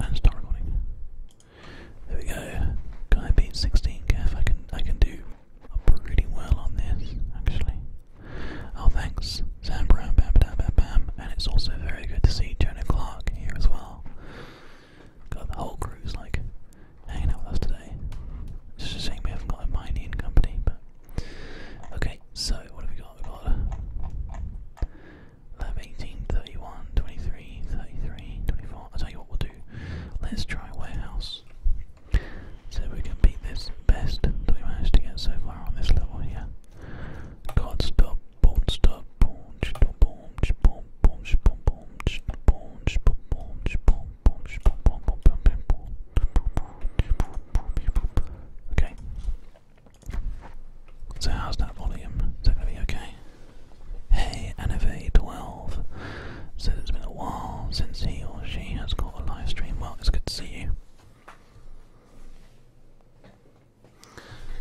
and start recording. There we go. Guy beat 16k. I can I can do pretty well on this actually. Oh thanks, Sam bam bam bam bam, and it's also very good to see Jonah Clark here as well. Got the whole crew's like hanging out with us today. just a we haven't got a mining company, but okay. So what have we got? we got um, 18, i tell you what we'll do. Let's try warehouse. So we can beat this best that we managed to get so far on this level here. God stop, boom stop, boom, boom, boom, boom, boom, boom, boom, boom, boom, boom, boom, boom, boom, boom, boom, Okay. So how's that volume? Is that gonna be okay? Hey, nv 12 said it's been a while since he or she has got a live stream. Well, it's good to see you.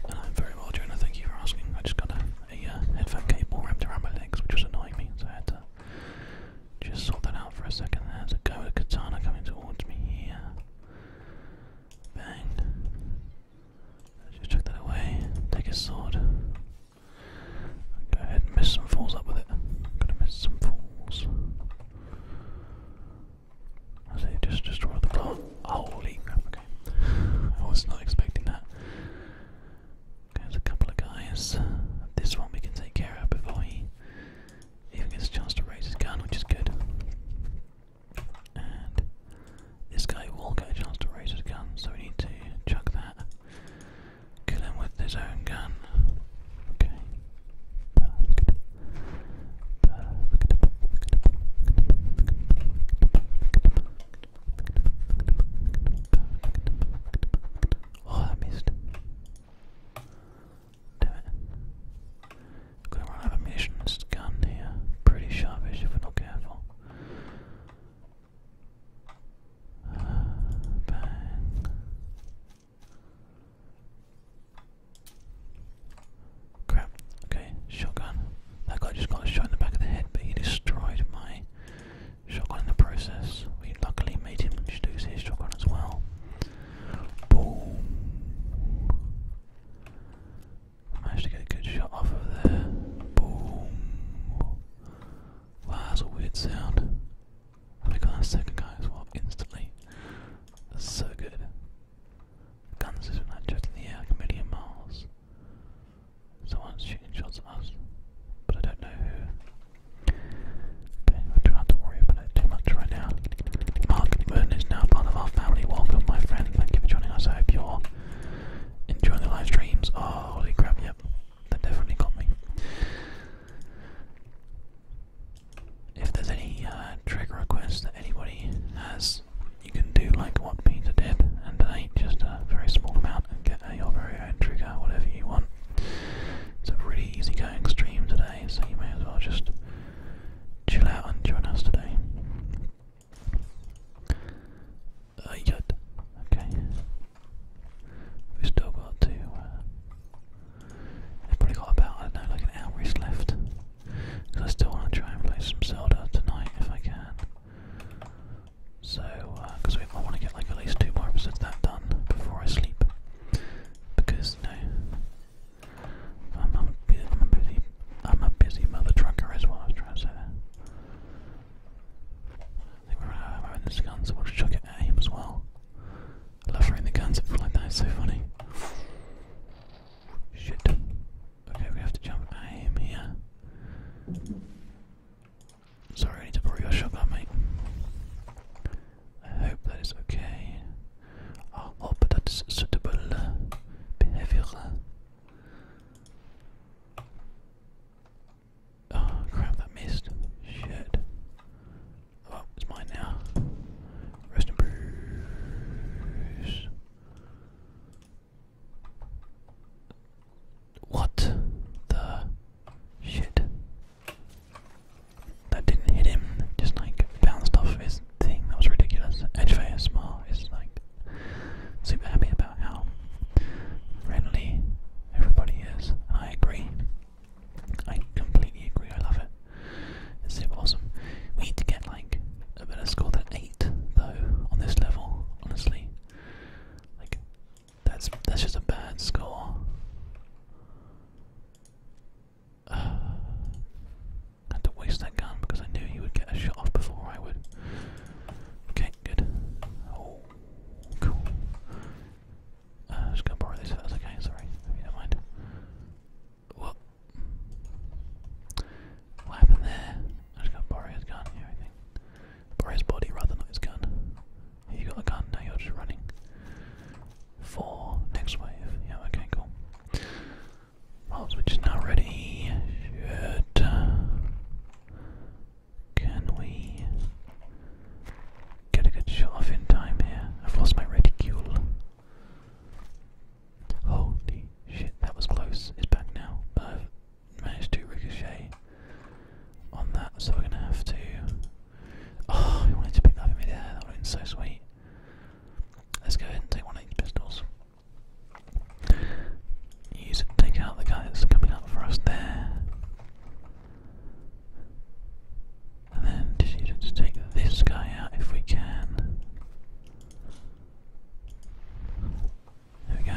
And I'm very well, Jonah. Thank you for asking. I just got a, uh, headphone cable wrapped around my legs, which was annoying me, so I had to just sort that out for a second. There's a Goa Katana coming towards me here. Bang. Just chuck that away. Take his sword. Go ahead and miss some fools up with it. Gotta miss some fools. I just destroy the plant. Holy crap, okay. I was not expecting that. Okay, there's a couple of guys. This one we can take care of before he even gets a chance to raise his gun, which is good this guy will get a chance to raise his gun, so we need to chuck that. Kill him with his own gun. Okay. Oh, I missed. Damn it. Gonna run gun here. Pretty sharpish if we're not careful. Uh, Crap. Okay, shotgun. That guy just got a shot in the back of the head, but he destroyed my shotgun in the process. We luckily made him lose his shotgun as well. Boom. I Managed to get a good shot off of there. Boom. Wow, that's a weird sound. And we got our second guy as well instantly. so good. Guns is just in the air a million miles. Someone's shooting shots at us, but I don't know who. Okay, I don't have to worry about it too much right now. Mark is now part of our family. Welcome, my friend. Thank you for joining us. I hope you're enjoying the live streams. Oh, holy crap, yep. That definitely got me. If there's any uh, trigger requests that anybody has, you can do like what Peter did and just a very small amount and get your very own trigger, whatever you want. It's a really easygoing stream today, so you may as well just chill out and join us today. Uh, yet. Okay. we still got to. i uh, probably got about, I don't know, like an hour's left. Because I still want to try and play some Zelda tonight if I can. So, because uh, I want to get like at least two more episodes that done before I sleep. Because, you I'm, a busy, I'm a busy mother trucker as well. I was trying to say that. I think we're out uh, of this gun, so we'll just chuck it at as well. I love throwing the guns at people like that. so funny. Shit. Okay, we have to jump at here. Sorry, I need to borrow your shotgun, mate. I hope okay. I oh, hope that's suitable behavior. Oh crap, that missed. Shit. Oh, it's mine now. Rest in peace. What the shit? That didn't hit him, just like bounced off his thing that was ridiculous. HFASMR is small. It's like super happy about how friendly everybody is. I agree. I completely agree. I love it. It's super awesome. We need to get like a better score than eight though on this level. Honestly, like that's that's just a bad score. I had to waste that gun because I knew you would get a shot off before I would. Okay, good. Oh, cool. Uh, i just gonna borrow okay, sorry, don't mind. What? What happened there? I just gotta gun here, I body rather, not his gun. You got a gun, now you're just running. Four, next wave. Yeah, okay, cool. Well, switch is ready. Can we get a good shot off in time here? I've lost my reticule. Holy shit, that was close. It's back now, I've managed to ricochet on that, so we're gonna have to. Oh, we wanted to pick that in midair. That would have been so sweet. Let's go ahead and take one of these pistols. Use it to take out the guy that's coming up for us there. And then just to take this guy out if we can. There we go.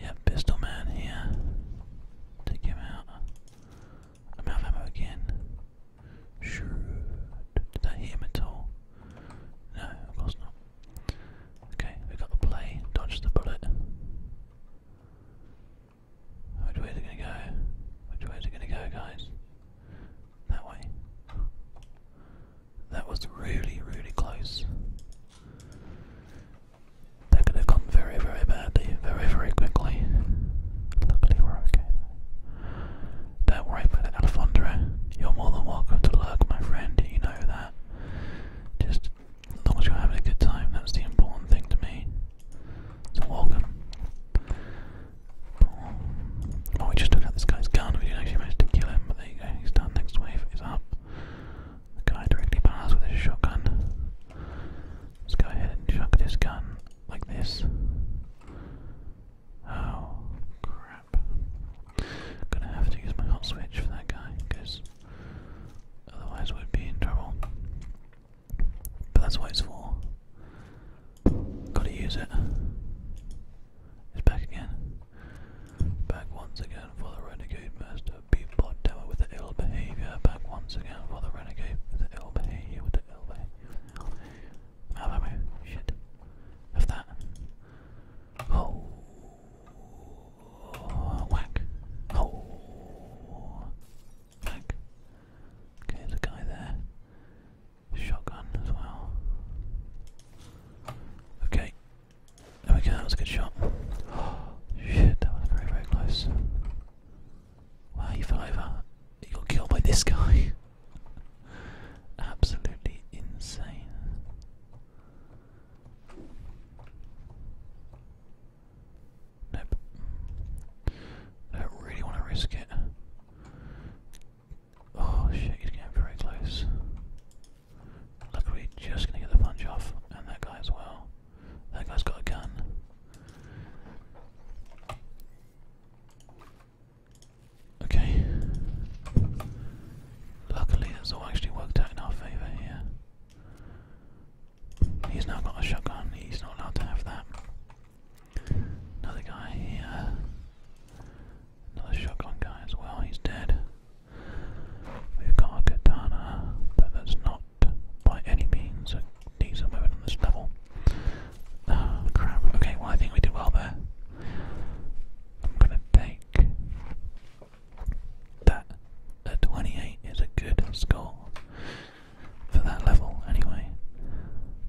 Yeah, pistol man here. Take him out. I'm out of ammo again. Did that hit him at all? No, of course not. Okay, we got to play, dodge the bullet. Which way is it gonna go? Which way is it gonna go, guys? That way. That was really, really close. That could have gone very, very badly, very, very quickly. Luckily, we're okay. Don't worry about it, Alfondra. You're more than welcome to look, my friend, you know that. Just as long as you're having a good time, that's the important thing to me. So welcome. Oh, we just took out this guy's gun, we didn't actually manage to kill him, but there you go, he's done, next wave is up. The guy directly behind with his shotgun. Let's go ahead and chuck this gun like this. Oh, crap. Gonna have to use my hot switch for that guy, because otherwise we'd be in trouble. But that's why it's for. Gotta use it. It's back again. Back once again for the renegade master. Be blood tower with the ill behavior. Back once again for the renegade with the ill behavior. With the ill behavior. Out of ammo. Shit. Of that. Oh. Whack. Oh. Whack. Okay, there's a guy there. Shotgun as well. Okay. There we go, that was a good shot. shit, that was very, very close. Wow, you fell over. You got killed by this guy. Absolutely insane. Nope. don't really want to risk it. Oh shit, he's getting very close. Luckily, just gonna get the punch off, and that guy as well. That guy's got a gun. Okay. Luckily, that's all actually worked out in our favour here. He's now got a shotgun, he's not allowed to have that. Another guy here. Another shotgun guy as well, he's dead. We've got a katana, but that's not by any means a decent weapon on this level. Oh crap, okay, well I think we did well there. I'm gonna take that. A 28 is a good score for that level anyway.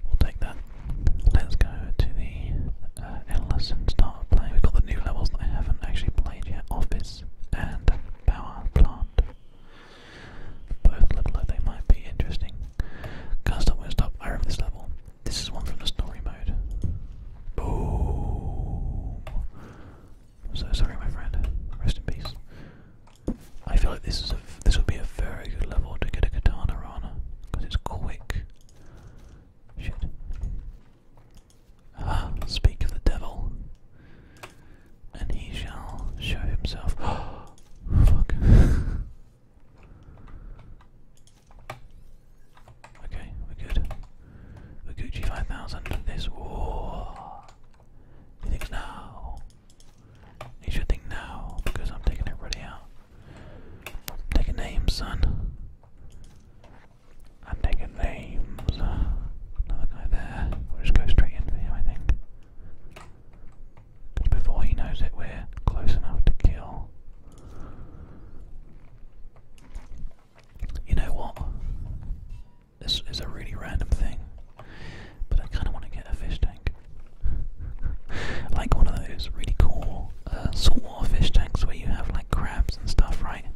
We'll take that. Let's go to the uh, Endless start playing. We've got the new levels that I haven't actually played yet. Office and Power Plant. Both look like they might be interesting. Can't stop, won't stop. I remember this level. This is one from the story mode. Boom. so sorry, my friend. Rest in peace. I feel like this is a this would be a very good level to get a katana on because it's quick. Shit. Ah, speak of the devil, and he shall show himself. Fuck. Okay, we're good. we Gucci 5000. This war. He thinks now. He should think now because I'm taking everybody out. taking names, son. I'm taking names. Another guy there. We'll just go straight in him, I think. Because before he knows it, we're close enough to kill. You know what? This is a really random thing, but I kind of want to get a fish tank. like one of those really cool uh, saltwater fish tanks where you have like crabs and stuff, right?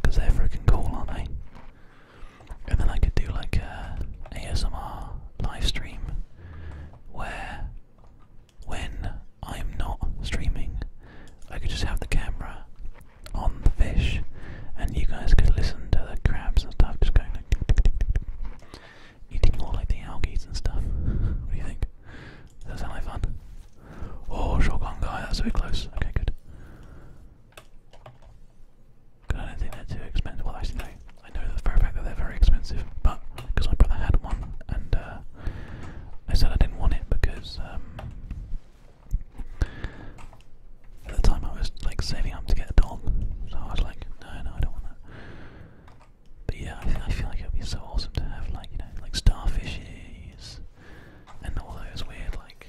Because they're freaking cool, aren't they? And then I could do like uh, a ASMR live where when I'm not streaming, I could just have the camera on the fish and you guys could listen to the crabs and stuff just going like eating all like the algae and stuff. What do you think? Does that sound like fun? Oh, shotgun guy, that's a bit close. Okay, good. I don't think they're too expensive. Well, actually, I know that fact that they're very expensive, but because my brother had one, and uh, I said I didn't want it because um, at the time I was like saving up to get a dog, so I was like, no, no, I don't want that. But yeah, I, feel like it would be so awesome to have like you know like starfishes and all those weird like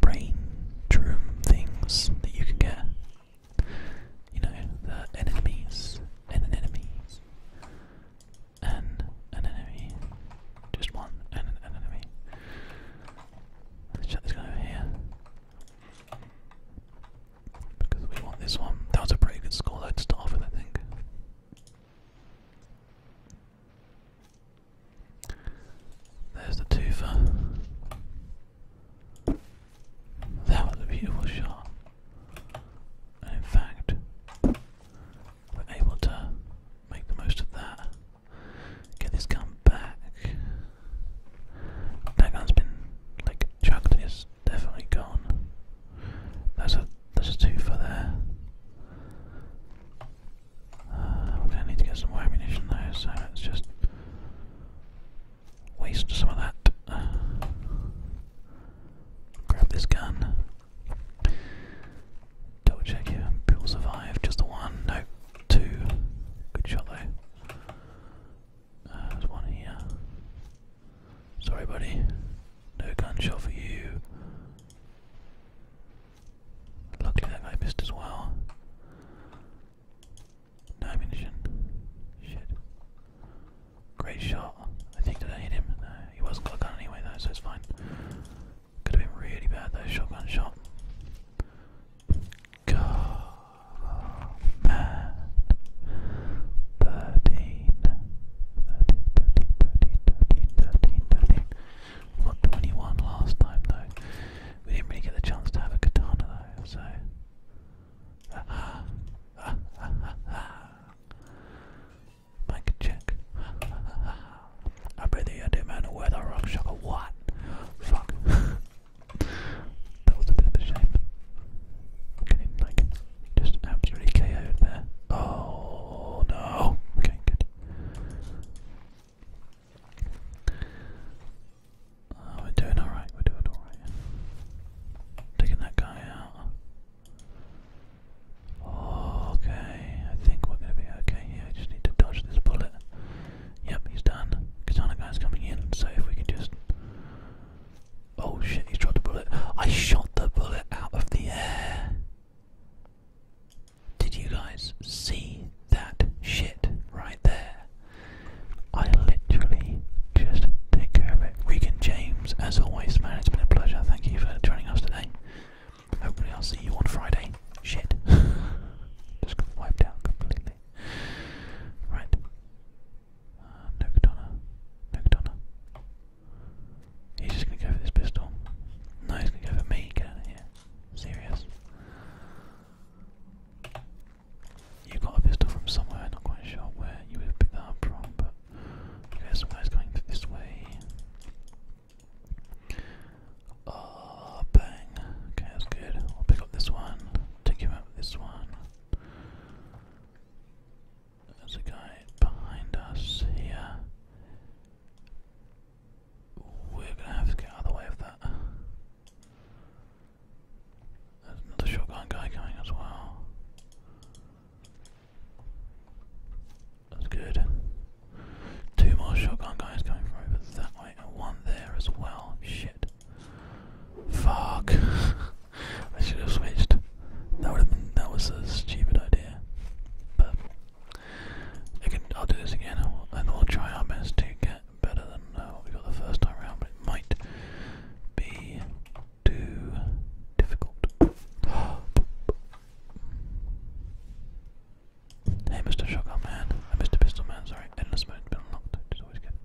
brain drum things that you can get you know, the enemies an enemy and an enemy. Just one and an enemy. Let's check this guy over here. Because we want this one. That was a pretty good score though to start with, I think. There's the twofer. That was a beautiful shot. And in fact, we're able to make the most of that. Get this gun back. That gun's been like chucked it's definitely gone. That's a that's a two for there. Uh, we're gonna need to get some ammunition though, so let's just waste some of that. Uh, grab this gun. Double check here. People survive. Just one. No, two. Good shot though. Uh, there's one here. Sorry, buddy. No gunshot for you. Luckily that guy missed as well. No ammunition. Shit. Great shot. I think did I hit him? No, he wasn't got a gun anyway though, so it's fine. Could have been really bad though, shotgun shot. God, man. 13. got 21 last time though. We didn't really get the chance to have a katana though, so Ah, check. Ah, ah, ah, ah. I bet the idea man where the rock shock what? Fuck. that was a bit of a shame. Getting like just absolutely KO'd there. Oh no. Okay, good. Oh, we're doing alright, we're doing alright. Taking that guy out. Oh, okay, I think we're gonna be okay here. I just need to dodge this bullet. Yep, he's done. Katana guy's coming in, so if we can just. Oh shit, he's dropped a bullet. I shot the bullet out of the air. Did you guys see that shit right there. I literally just take care of it. Regan James, as always, man, it's been a pleasure. Thank you for joining us today. Hopefully, I'll see you on Friday. Shit. just wiped out completely. Right. Uh, no katana. No katana. He's just gonna go for this pistol. No, he's gonna go for me. Get out of here. Serious. You got a pistol from somewhere, not quite sure where you would have picked that up from, but okay, somebody's going this way. Oh, bang. Okay, that's good. I'll pick up this one, take him out with this one. There's a guy behind us here. We're gonna have to get out of the way of that. There's another shotgun guy coming as well. That's good. Two more shotgun guys coming from over that way, and one there as well. Shit. Fuck. I should have switched. That would have been that was a stupid idea. But I can I'll do this again and we'll try our best to get better than uh, what we got the first time around, but it might be too difficult. hey, Mr. Shotgun Man. Uh, Mr. Pistol Man, sorry. Endless mode's been unlocked, which is always good.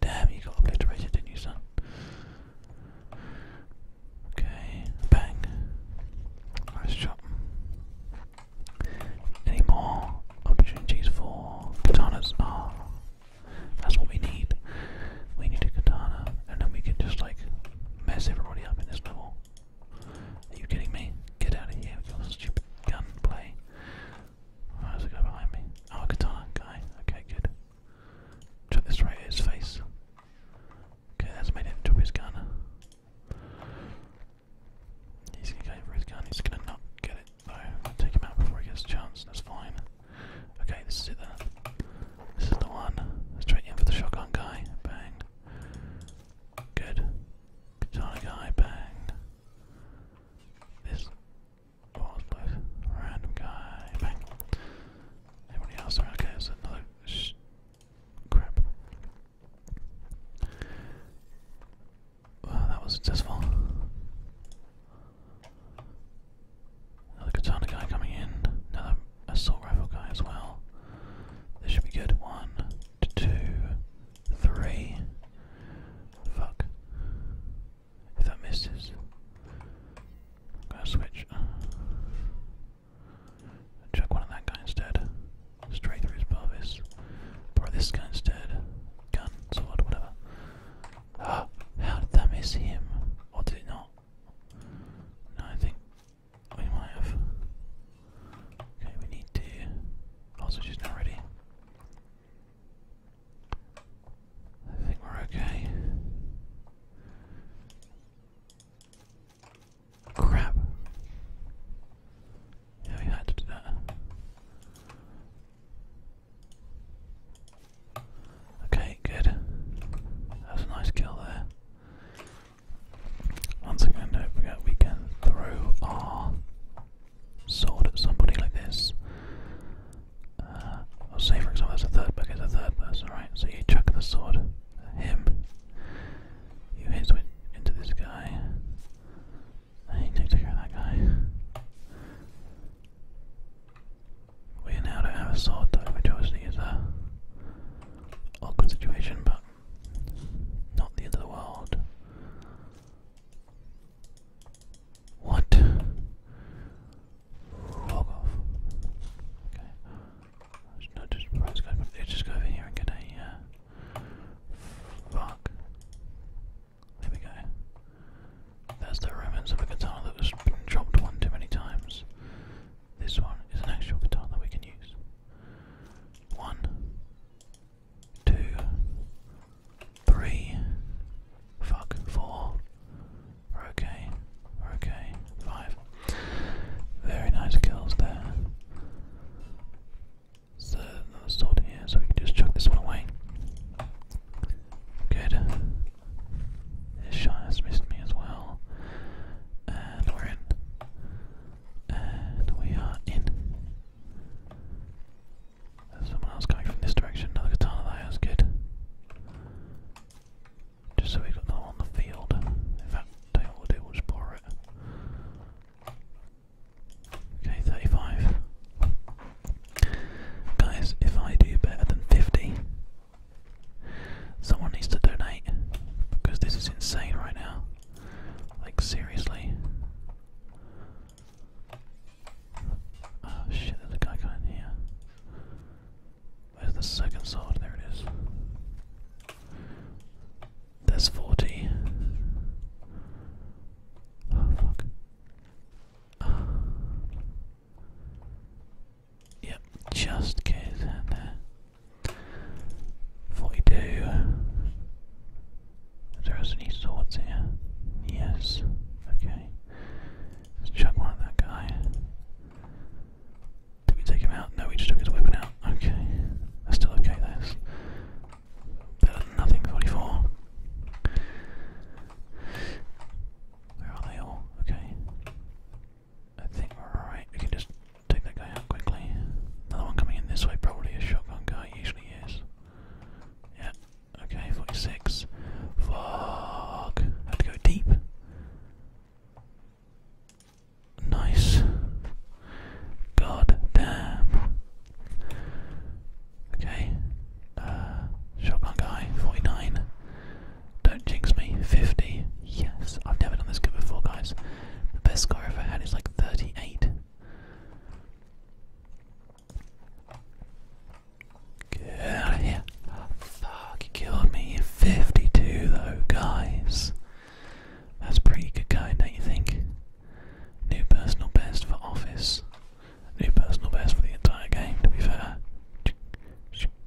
Damn, you got obliterated, didn't you, son? Okay, bang. Nice shot. Any more opportunities for katanas? Ah, that's what we need. We need a katana, and then we can just like mess everybody up in this level. Are you kidding me? Get out of here with your stupid gunplay. Oh, there's a behind me. Oh, katana guy. Okay, good. Chuck this right at his face. Okay, that's made it drop his gun. He's gonna go for his gun, he's gonna not get it though. Take him out before he gets a chance, that's fine. Okay, this is it then. This is the one. Straight in for the shotgun guy. Bang. Good. Katana guy, bang. This random guy, bang. Everybody else okay, there's another crap. Wow, that was successful. Another katana guy coming in. Another assault rifle guy as well. This should be good. One, two, three. Fuck. If that misses, I'm gonna switch. Chuck one of that guy instead. Straight through his pelvis. Probably this gun instead. Gun, sword, whatever. Ah, how did that miss him? did it not? No, I think we might have. Okay, we need to. Also, she's not ready. I think we're okay. Crap. Yeah, we had to do that. Okay, good. That a nice kill there. Once again, don't forget we can throw our sword at somebody like this. Uh, or say, for example, that's a third person, it's a third person, right? So you chuck the sword him, you hit it into this guy, I need to hear that guy. We now don't have a sword though, which obviously is a awkward situation, but not the end of the world. What? Log off. Okay. It's not just let's go just go over here and get a uh, fuck. There we go. That's the remnants of a guitar that was dropped one too many times. This one is an actual guitar that we can use. One, two, three, fuck, 4 okay, okay, five. Very nice kills there. So another sword here, so we can just chuck this one away. Good. This shot has missed me as well. And we're in. And we are in. There's someone else coming from this direction. Another katana there, that's good. Just so we've got another one on the field. In fact, tell we'll do, we just borrow it. Okay, 35. Guys, if I do better than 50, someone needs to donate because this is insane right now. Like, seriously. Oh shit, there's a guy coming here. Where's the second sword? There it is. There's 40. Oh, fuck. yep, just goes there. 42. There there any swords here? Yes. Okay. Let's chuck one at that guy. Did we take him out? No, we just took his weapon out. Okay. That's still okay, this nothing, 44. Where are they all? Okay. I think we We can just take that guy out quickly. Another one coming in this way, probably a shotgun guy, usually is. Yeah, okay, 46. Fuck. Had to go deep. Nice. God damn. Okay. Uh, shotgun guy, 49. Don't jinx me, 50. Yes, I've never done this good before, guys. The best score I've had is like 38. Get out of here. fuck, you killed me. 52 though, guys. That's pretty good going, don't you think? New personal best for office. New personal best for the entire game, to be fair.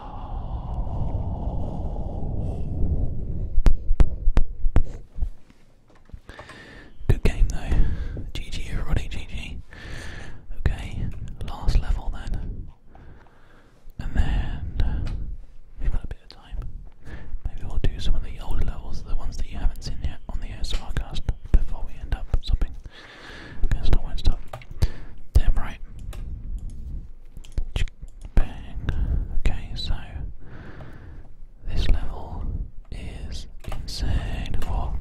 Good game though. GG everybody, GG. Okay, last level then. And then we've got a bit of time. Maybe we'll do some of the older levels, the ones that you haven't seen yet on the ASMRcast before we end up something. Okay, stop, won't stop. Damn right. Bang. Okay, so this level is insane. Whoa.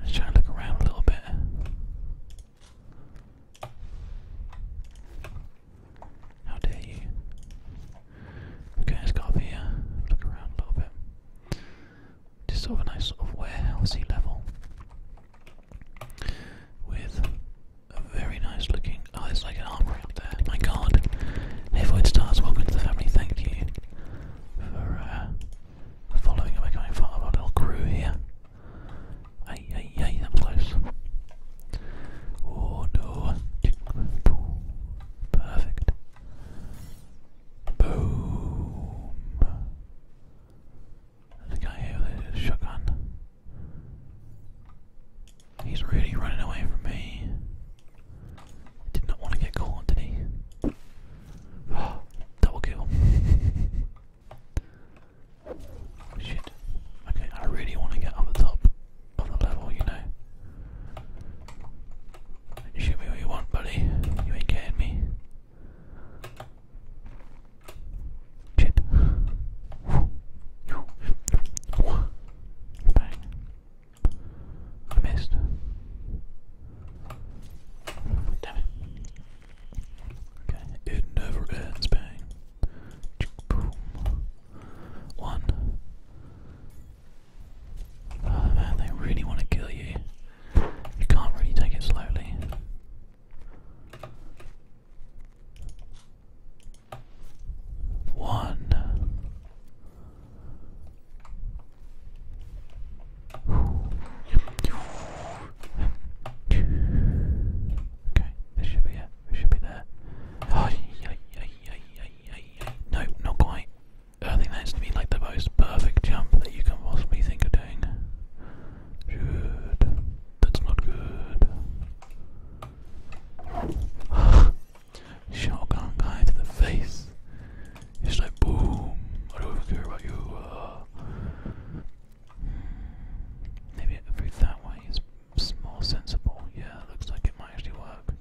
Let's try and look around a little bit. How dare you? Okay, let's go up here, look around a little bit. Just sort of a nice sort of warehousey level with a very nice looking. Oh, there's like an armory up there. My god. Hey, Void Stars, welcome to the family. Thank you for uh, following and becoming part of our little crew here. Hey, hey, hey, I'm close. Oh no. Perfect. Boom. There's guy with a shotgun. He's really running away from me. Did not want to get caught, did he? double kill. Shit. Okay, I really want to get up the top of the level, you know. Shoot me what you want, buddy. You ain't getting me. Bang. I missed. Damn it. Okay, it never ends. Bang. One. Oh man, they really want to kill you. You can't really take it slowly. One. Okay, We should be there. No, not quite. I think that's to be like the most perfect jump that you can possibly think of doing. Good. That's not good. Shotgun guy to the face. It's like boom. I don't care about you. maybe through that way is more sensible. Yeah, looks like it might actually work.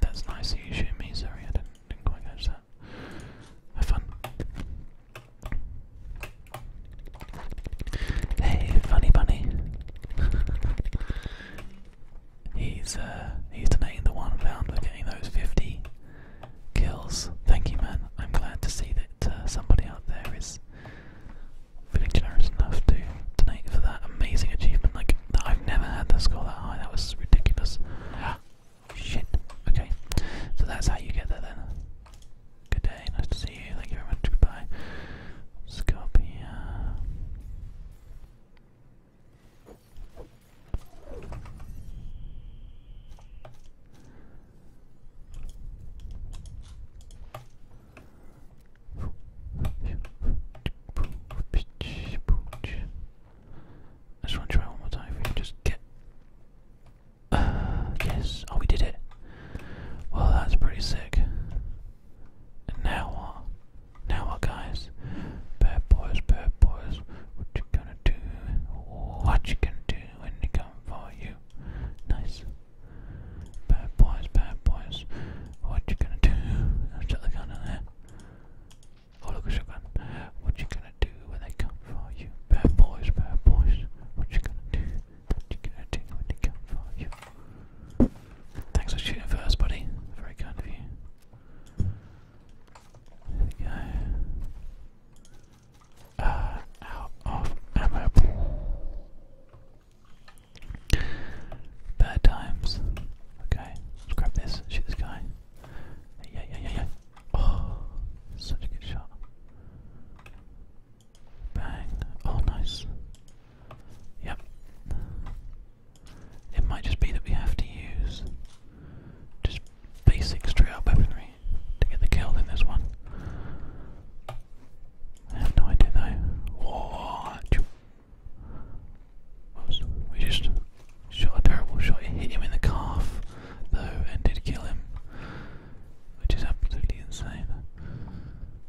That's nice of you shooting me, sorry, I have fun. Hey, funny bunny. he's uh he's donating the one pound for getting those fifty kills. Thank you, man. I'm glad to see that uh, somebody out there is feeling generous enough to donate for that amazing achievement. Like I've never had the score that high. That was ridiculous. Shit. Okay. So that's how you get there then. Good day, nice to see you, thank you very much, goodbye. let I just want to try one more time. If we can just get. Uh, yes. Oh, we did it. Well, that's pretty sick. now what? Now what, guys? Bad boys, bad boys. What you gonna do? What you gonna do when they come for you? Nice. Bad boys, bad boys. What you gonna do? I'll shut the gun in there. Oh look, it's What you gonna do when they come for you? Bad boys, bad boys. What you gonna do? What you gonna do when they come for you? Thanks for shooting first, buddy. Very kind of you. There we go. Uh, out of ammo. Bad times. Okay, grab this. Shoot this guy. Yeah, yeah, yeah, yeah. Oh, such a good shot. Bang. Oh, nice. Yep. It might just be that we have to use just basic straight up weaponry to get the kill in this one. I have no idea What? We just Shot a terrible shot, it hit him in the calf though and did kill him, which is absolutely insane.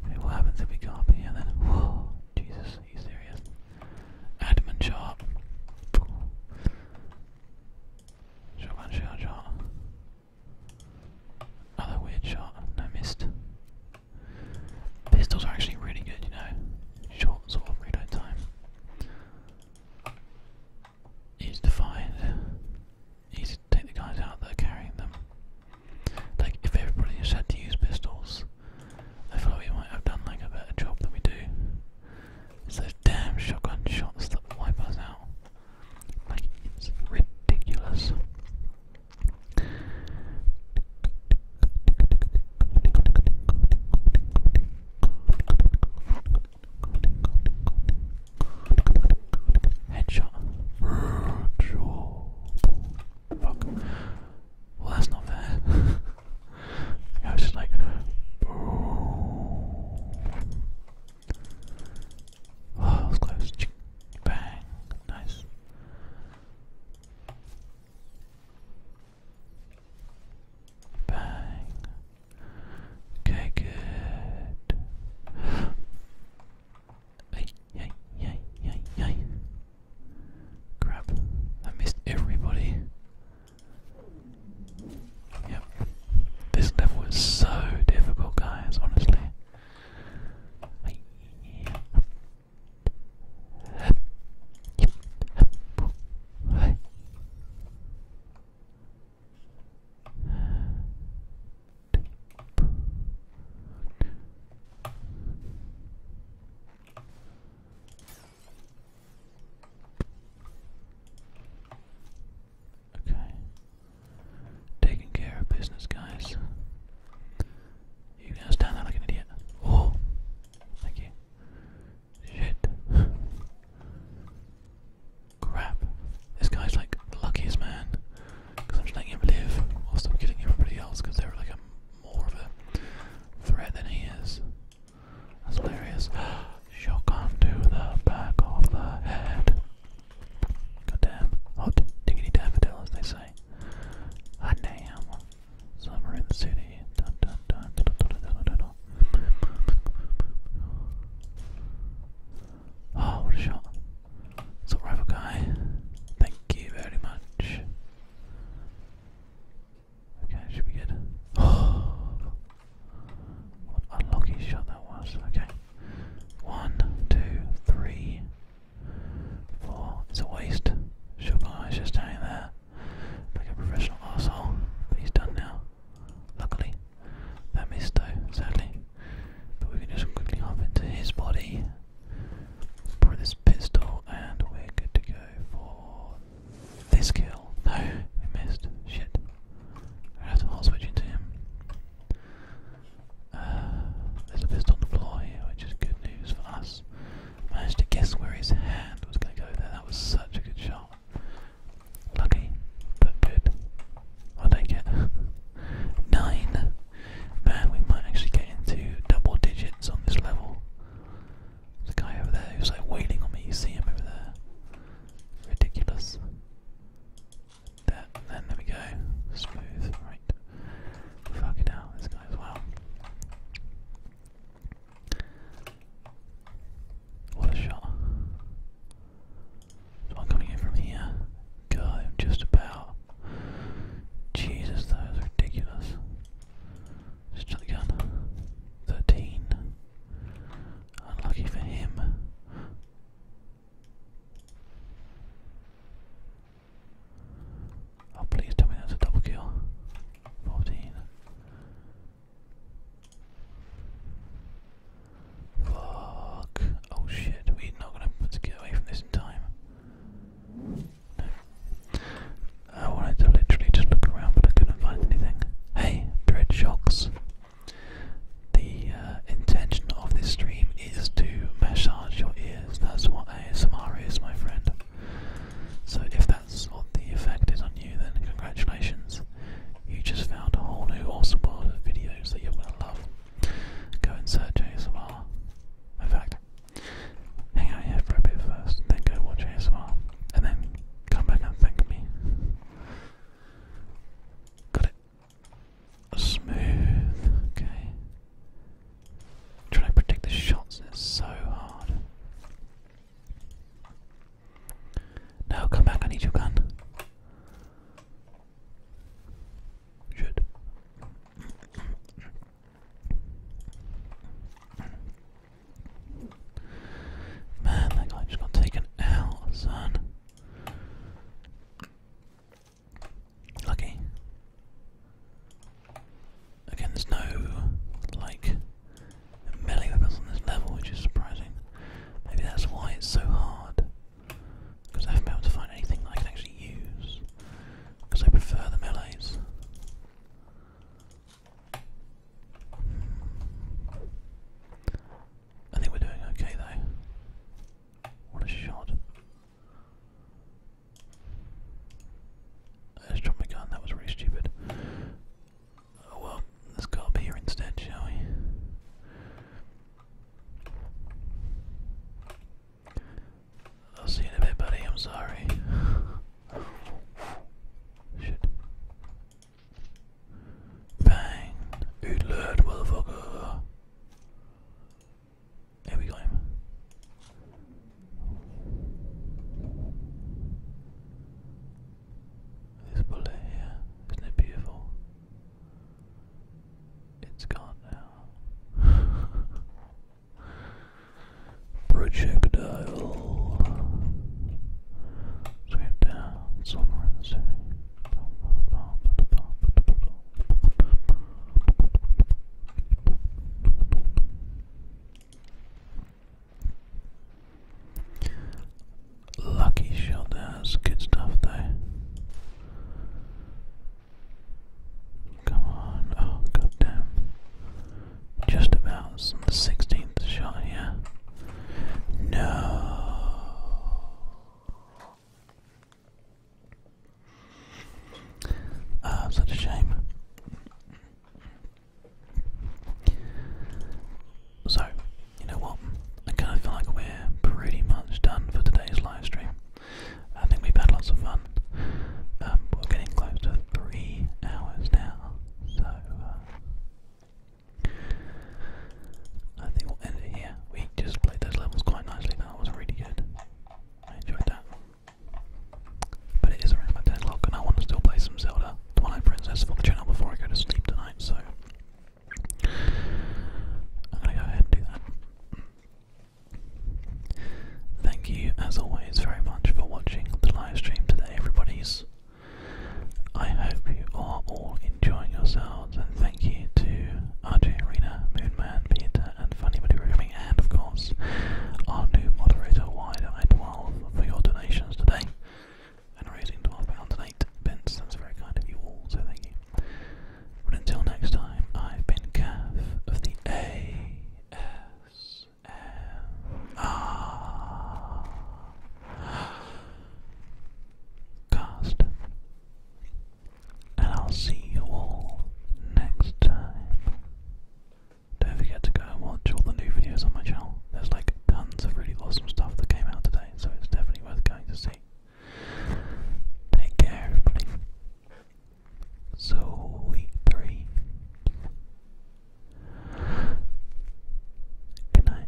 Okay, what happens if we go up here then? Whoa, Jesus, are you serious? Adam and Sharp. Shotgun shell shot. Another weird shot. No missed. Pistols are actually really good, you know. Short sort of reload time. Easy to find. Easy to take the guys out that are carrying them. Like, if everybody just had to use pistols, I thought we might have done like a better job than we do. It's those damn shotgun shots that wipe us out. Like, it's ridiculous. Headshot. Well, that's not fair. I was just like. Oh, close. Bang. Nice. Bang. Okay, good. Ay, ay, ay, ay, ay. Crap. I missed everybody. Yep. This level is so difficult, guys, honestly. Ay, yeah. Okay. Taking care of business, guys. You guys stand there like an idiot. Oh, thank you. Shit. Crap. This guy's like the luckiest man. Because I'm just letting him live while I'm killing everybody else because they're like a, more of a threat than he is. That's hilarious. Shotgun to the back of the head. Goddamn. Hot diggity daffodil, they say. damn. Summer in the city. Oh, what a shot. It's rival guy. Thank you very much. Okay, should be good. what a shot that was. Okay. One, two, three, four. It's a waste. Sugar is just down there like a professional asshole, but he's done now. Luckily, that missed though, sadly. But we can just quickly hop into his body, pour this pistol, and we're good to go for this kill. No, we missed. Shit. I have to hot switch into him. Uh, there's a pistol on the floor here, which is good news for us. Managed to guess where his hand was going to go there. That was such a good shot. Lucky, but good. I'll take it. Nine. Man, we might actually get into double digits on this level. The guy over there who's like waiting on me. You see him over there. Ridiculous. There, and there we go. Smooth, right. Fuck it out, this guy as well. What a shot. Someone coming in from here. God, just about. Jesus, that is ridiculous. Just shot gun. 13. Unlucky for him. Oh, please tell me that's a double kill. 14. Fuck. Oh shit, we're not gonna get away from this in time. I wanted to literally just look around but I couldn't find anything. Hey, Bread Shocks. The uh, intention of this stream is to massage your ears. That's what ASMR is, my friend. So if that's what the effect is on you, then congratulations. You just found a whole new awesome world of videos that you're gonna love. Go and search ASMR. In fact, hang out here for a bit first, then go watch ASMR, and then come back and thank me. Got it. Smooth, okay. Trying to predict the shots is so hard. No, come back, I need your gun. Should. Man, that guy just got taken out, son. Lucky. Again, there's no, like, melee weapons on this level, which is surprising. Maybe that's why it's so hard. Because I haven't been able to find anything that I can actually use. Because I prefer the melees. Hmm. I think we're doing okay though. What a shot. I just dropped my gun, that was really stupid. Oh, well, let's go up here instead, shall we? I'll see you in a bit, buddy. I'm sorry. Shit. Bang! Good motherfucker! Here we go. This bullet here, isn't it beautiful? It's gone now. Projectile. Sweep down somewhere in the city. Lucky shot there, that's good stuff though. Come on, oh god Just about 16th shot here. No. Ah, such a shame. So, you know what? I kind of feel like we're pretty much done for today's live stream. I think we've had lots of fun. Um, we're getting close to three hours now, so uh, I think we'll end it here. We just played those levels quite nicely. That was really good. I enjoyed that. But it is around 10 o'clock and I want to still play some Zelda Twilight Princess for the channel before I go to sleep tonight, so I'm gonna go ahead and do that. Thank you, as always, very much for watching the live stream today, everybody's. I hope you are all enjoying yourselves, and thank you to RJ Arena, Moonman, Peter, and Funny Buddy Rooming, and of course, our new moderator, Wide Eye 12, for your donations today and raising £12.08. That's very kind of you all, so thank you. But until next time, I've been Cav of the ASMR Cast. And I'll see you all next time. Don't forget to go and watch all the new videos on my channel. There's like tons of really awesome stuff that came out today, so it's definitely worth going to see. Take care, everybody. So, week three. Good night.